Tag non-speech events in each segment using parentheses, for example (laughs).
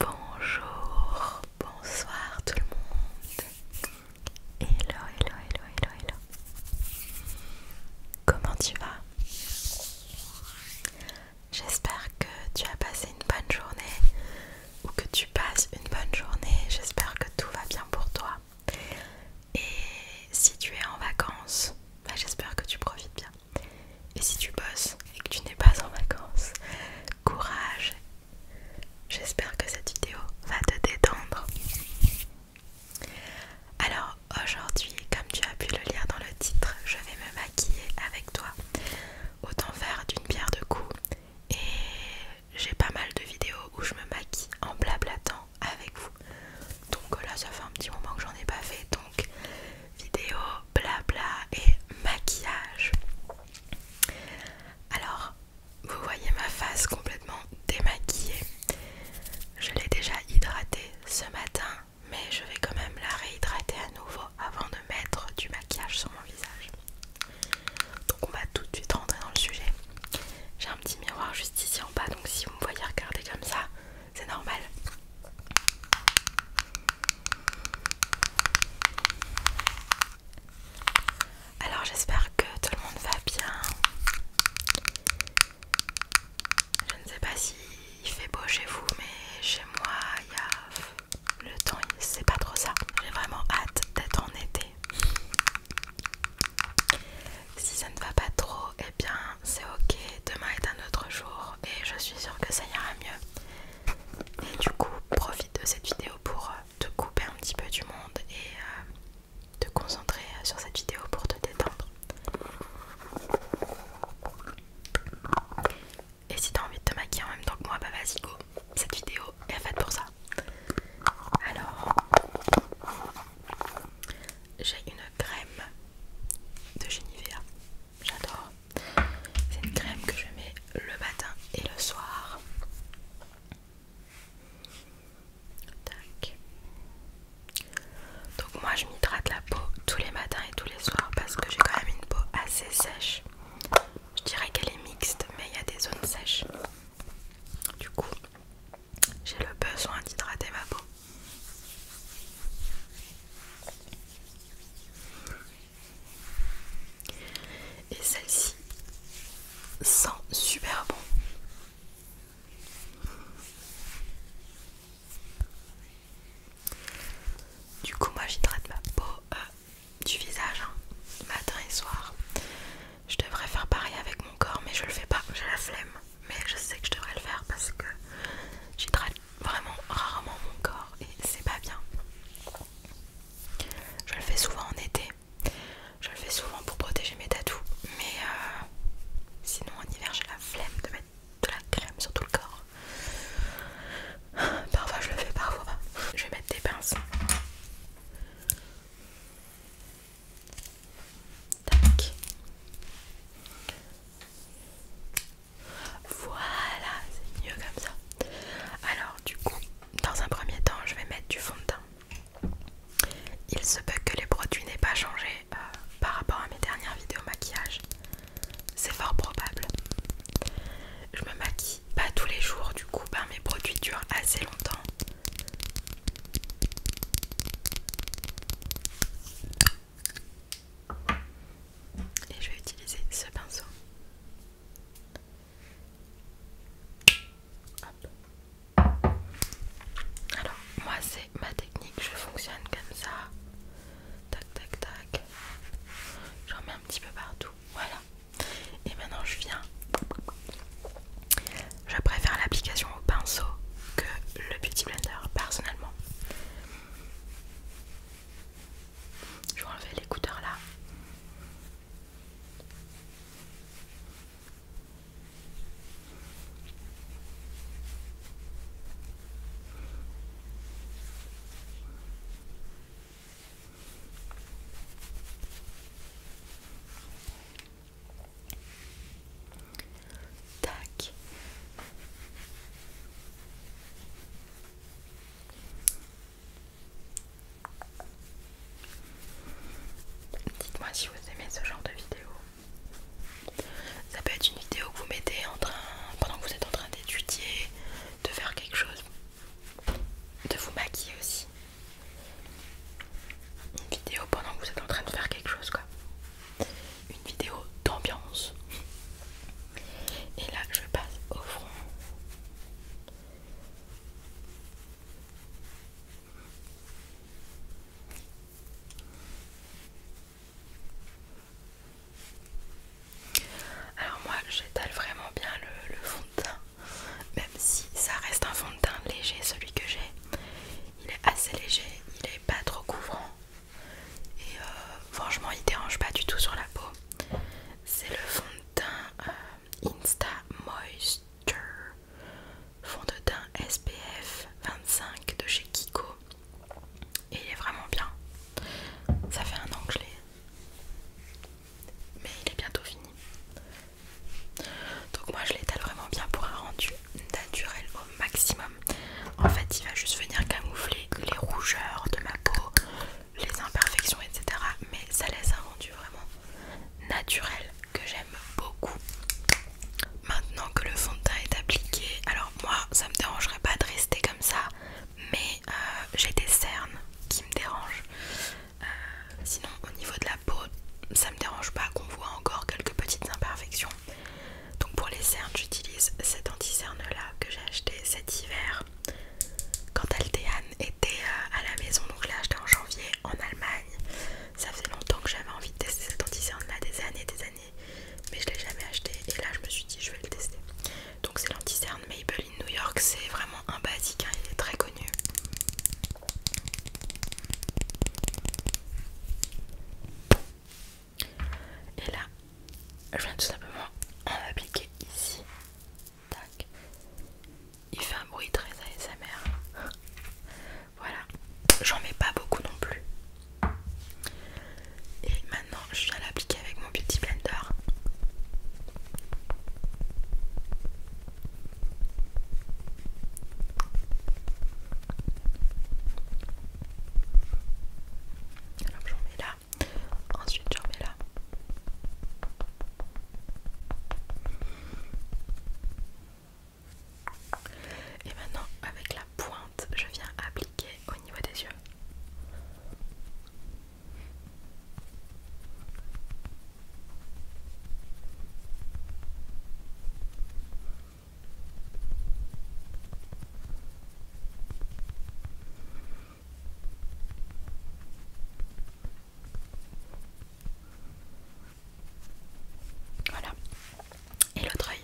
Bonjour, bonsoir tout le monde. Hello, hello, hello, hello, hello. Comment tu vas J'espère que tu as passé une bonne journée ou que tu passes une bonne journée. J'espère que tout va bien pour toi. Et si tu es en vacances, bah, j'espère que tu profites bien. Et si tu bosses et que tu n'es pas en vacances, courage. J'espère que cette vidéo va te détendre. Alors aujourd'hui, comme tu as pu le lire dans le titre, je vais me maquiller avec toi. Autant faire d'une pierre de coups. Et j'ai pas mal de vidéos où je me maquille en blablatant avec vous. Donc là, ça fait un petit moment que j'en ai pas fait. Donc, vidéo, blabla et maquillage. Alors, vous voyez ma face complètement démaquillée. Je l'ai déjà hydratée ce matin, mais je vais quand même la réhydrater à nouveau avant de mettre du maquillage sur mon visage. Donc on va tout de suite rentrer dans le sujet. J'ai un petit miroir juste ici en bas, donc si vous me voyez regarder comme ça, c'est normal. Alors j'espère que tout le monde va bien. Je ne sais pas s'il il fait beau chez vous, mais chez moi, il y a... le temps, c'est pas trop ça. J'ai vraiment hâte d'être en été. Si ça ne va pas trop, eh bien c'est ok, demain est un autre jour et je suis sûre que ça ira mieux. Et du coup, profite de cette vidéo pour euh, te couper un petit peu du monde et euh, te concentrer euh, sur cette vidéo pour te détendre. Et si t'as envie de te maquiller en même temps que moi, bah vas-y go, cette vidéo est faite pour ça. Alors, j'ai une crème de Genivea, j'adore. C'est une crème que je mets le matin et le soir. Donc moi je m'hydrate la peau tous les matins et tous les soirs parce que j'ai quand même une peau assez sèche. Je dirais qu'elle est mixte mais il y a des zones sèches. Du coup, j'ai le besoin d'hydrater ma peau. Et celle-ci sent super bon. Du coup, moi j'hydrate ma peau euh, du visage hein, matin et soir. Je devrais faire pareil avec mon corps, mais je le fais pas, j'ai la flemme. Mais je sais que je devrais le faire parce que j'hydrate vraiment rarement mon corps et c'est pas bien. Je le fais souvent en été, je le fais souvent pour protéger mes tatous, mais euh, sinon en hiver j'ai la flemme de mettre de la crème sur tout le corps. (sighs) Parfois je le fais, parfois pas. Je vais mettre des pinces. Voilà, c'est mieux comme ça. Alors du coup, dans un premier temps, je vais mettre du fond de teint. Il se peut que les produits n'aient pas changé euh, par rapport à mes dernières vidéos maquillage. C'est fort probable. Je me maquille pas tous les jours, du coup, ben, mes produits durent assez longtemps. Et je vais utiliser ce pinceau. Alors, moi, c'est ma technique. Je fonctionne comme ça. Tac, tac, tac. J'en mets un petit peu partout. Voilà. Et maintenant, je viens je préfère l'application au pinceau que le petit Blender personnellement. Je vais enlever l'écouteur là. Tac. Dites-moi si vous aimez ce genre de vidéo. Ça peut être une vidéo que vous mettez en train, pendant que vous êtes en train d'étudier, de faire quelque chose, de vous maquiller aussi. Une vidéo pendant que vous êtes en train de faire quelque chose quoi. Une vidéo d'ambiance. Et là je passe au front. Alors moi j'étale vraiment bien le, fond de teint même si ça reste un fond de teint léger, celui que j'ai. Il est assez léger, il n'est pas trop couvrant et euh, franchement il dérange pas du tout sur la peau. C'est le fond de teint euh, Insta Moisture, fond de teint SPF 25 de chez Kiko et il est vraiment bien. Ça fait un an que mais il est bientôt fini. Donc moi je l'étale vraiment bien pour un rendu naturel au maximum. En fait il va juste venir camoufler les rougeurs de ma peau, les imperfections etc. Mais ça laisse un rendu vraiment naturel que j'aime beaucoup. Maintenant que le fond de teint est appliqué, alors moi ça me dérangerait pas de rester comme ça, mais euh, j'ai des cernes qui me dérangent. Euh, sinon au niveau de la peau ça me dérange pas qu'on voit encore quelques petites imperfections. Donc pour les cernes j'utilise cette anti-cerne là que j'ai acheté cet hiver quand Altéane était euh, à la maison. Donc là acheté en janvier en Allemagne. Ça faisait longtemps que j'avais envie de tester cette anti-cerne là des années et des années mais je l'ai jamais acheté et là je me suis dit je vais le tester. Donc c'est l'anti-cerne Maybelline New York, c'est vraiment un basique, hein, il est très connu. Et là, je viens tout simplement en appliquer ici. Tac. Il fait un bruit très ASMR. voilà. J'en mets pas beaucoup non plus. Et maintenant, je viens l'appliquer avec mon Beauty Blender. Alors j'en mets là, ensuite j'en mets là. Et maintenant avec la pointe, je viens appliquer au niveau des yeux. Voilà. Et l'autre œil.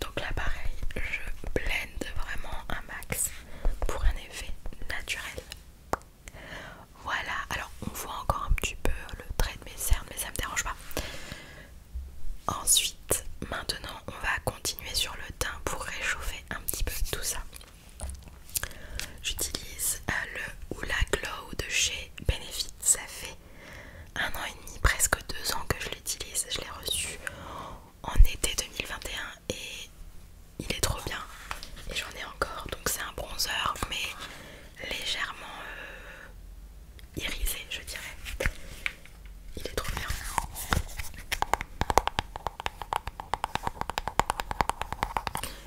Donc là pareil, je blende vraiment un max pour un effet naturel. Voilà, alors on voit encore un petit peu le trait de mes cernes, mais ça me dérange pas. Ensuite, maintenant, on va continuer sur le teint pour réchauffer un petit peu tout ça. J'utilise euh, le Hoola Glow de chez Benefit. Ça fait un an et demi, presque deux ans que je l'utilise. Je l'ai reçu en été 2021 et il est trop bien et j'en ai encore donc c'est un bronzer mais légèrement euh, irisé je dirais il est trop bien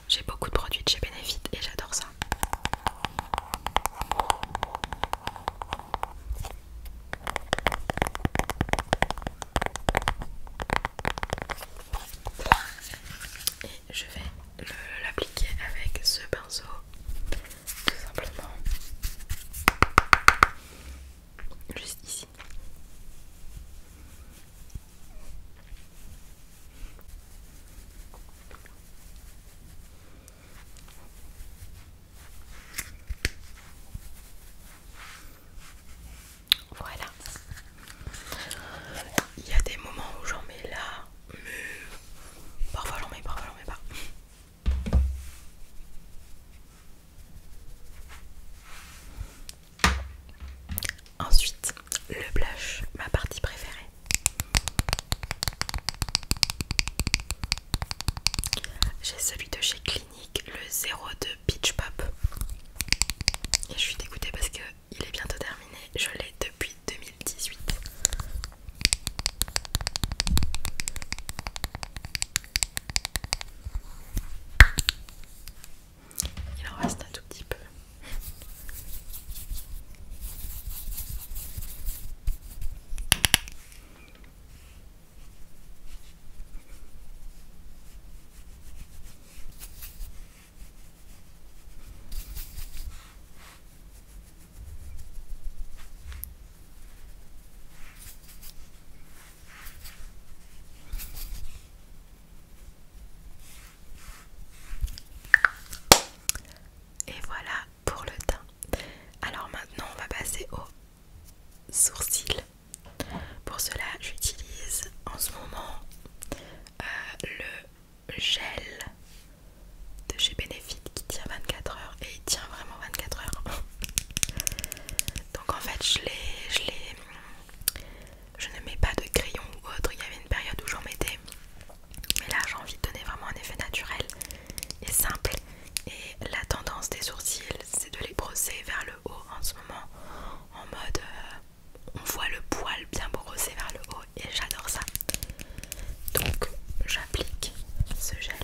j'ai beaucoup de produits de chez Benefit et j'adore ça et je vais l'appliquer avec ce pinceau tout simplement juste ici voilà. Il y a des moments où j'en mets là, mais parfois j'en mets, parfois j'en mets pas. Ensuite, le blush, ma partie préférée. J'ai celui de chez Clinique, le 02 Pitch Pop. Et je suis dégoûtée parce que il est bientôt terminé. Je l'ai depuis 2018. Il en reste un tout petit peu. Et voilà pour le teint. Alors maintenant, on va passer aux sourcils. Pour cela, j'utilise en ce moment euh, le gel de chez Benefit qui tient 24 heures et il tient vraiment 24 heures. (laughs) Donc en fait, je je ne mets pas de crayon ou autre. Il y avait une période où j'en mettais, mais là j'ai envie de donner vraiment un effet naturel et simple. Et la tendance des sourcils, c'est de les brosser vers le haut en ce moment en mode euh, on voit le poil bien brossé vers le haut et j'adore ça. Donc j'applique ce gel.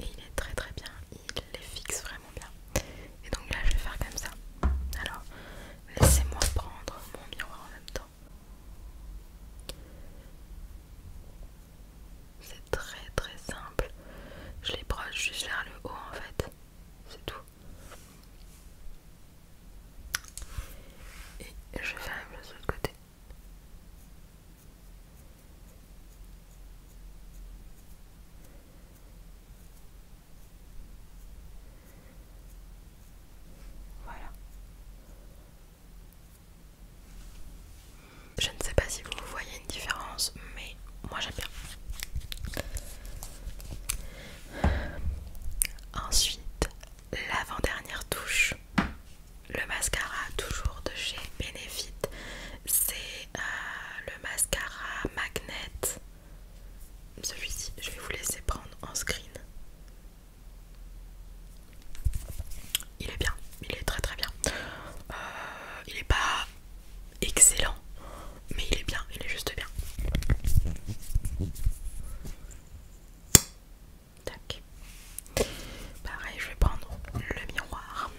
Et il est très très bien, il les fixe vraiment bien. Et donc là je vais faire comme ça. Alors laissez-moi prendre mon miroir en même temps. C'est très très simple. Je les broche juste vers le haut en fait. C'est tout. Et je fais un sur sur côté. Voilà. Je ne sais pas si vous voyez une différence, mais moi j'aime bien. Ensuite, l'avant-dernière touche, le mascara toujours de chez Benefit. C'est euh, le mascara Magnet. Celui-ci, je vais vous laisser prendre en screen. Il est bien, il est très très bien. Euh, il est pas excellent, mais il est bien, il est juste bien. Tac. Pareil, je vais prendre le miroir.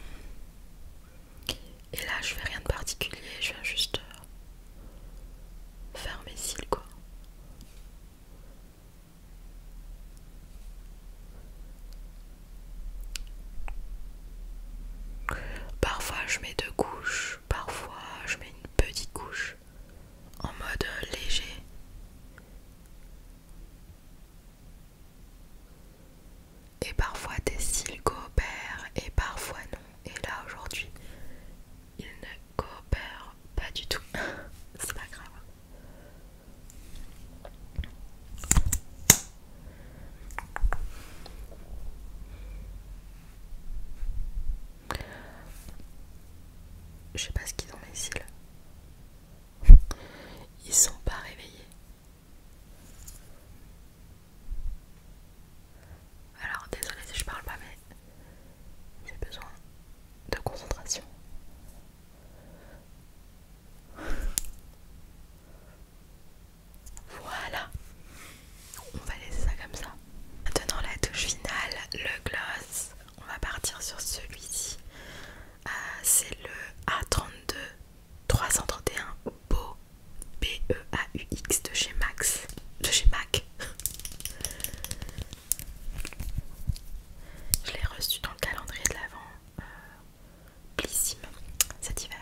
Et là, je fais rien de particulier, je viens juste euh, faire mes cils quoi. Parfois je mets deux couches, parfois je mets une petite couche en mode léger. Et parfois tes cils coopèrent et parfois non. Et là aujourd'hui, ils ne coopèrent pas du tout. (laughs) C'est pas grave. Je sais pas ce qu'ils ont les cils. (laughs) Ils sont pas réveillés. Alors désolé si je parle pas mais j'ai besoin de concentration. (laughs) Voilà, on va laisser ça comme ça. Maintenant la touche finale, le gloss. On va partir sur celui-ci. Euh, c'est le A32 331 Beau B E A U X de chez Max, de chez Mac. (laughs) Je l'ai reçu dans le calendrier de l'avant Blissime euh, cet hiver.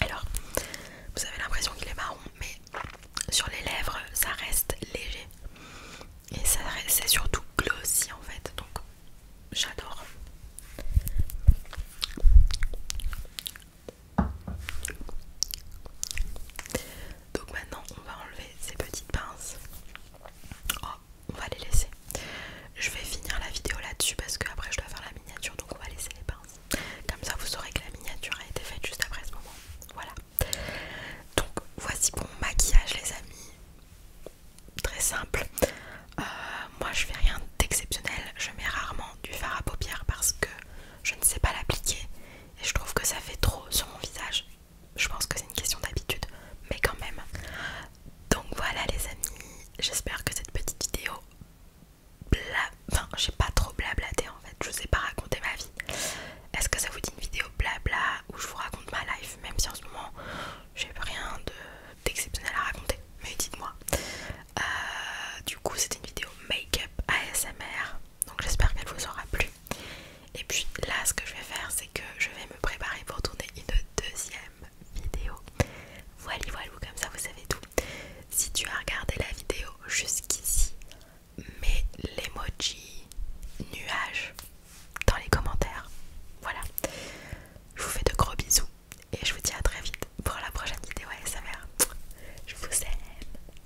Alors, vous avez l'impression qu'il est marron, mais sur les lèvres, ça reste léger. Et ça c'est surtout glossy en fait, donc j'adore. Donc maintenant on va enlever ces petites pinces. Oh, on va les laisser. Je vais finir la vidéo là-dessus parce que après je dois faire la miniature donc on va laisser les pinces. Comme ça vous saurez que la miniature a été faite juste après ce moment. Voilà. Donc voici pour mon maquillage les amis. Très simple. Euh, moi je fais rien d'exceptionnel. Je mets rarement du fard à paupières parce que je ne sais pas l'appliquer et je trouve que ça fait trop sur mon visage je pense que c'est une question d'habitude, mais quand même. Donc voilà les amis, j'espère que cette petite vidéo bla... Enfin, j'ai pas trop blablaté en fait, je vous ai pas raconté ma vie. Est-ce que ça vous dit une vidéo blabla où je vous raconte ma life, même si en ce moment j'ai rien d'exceptionnel à raconter, mais dites-moi. Euh, du coup, c'était une vidéo make-up ASMR donc j'espère qu'elle vous aura plu et puis là ce que je vais faire c'est que je vais me préparer pour tourner une deuxième vidéo voilà voilà comme ça vous savez tout si tu as regardé la vidéo jusqu'ici mets l'emoji nuage dans les commentaires voilà je vous fais de gros bisous et je vous dis à très vite pour la prochaine vidéo va. je vous aime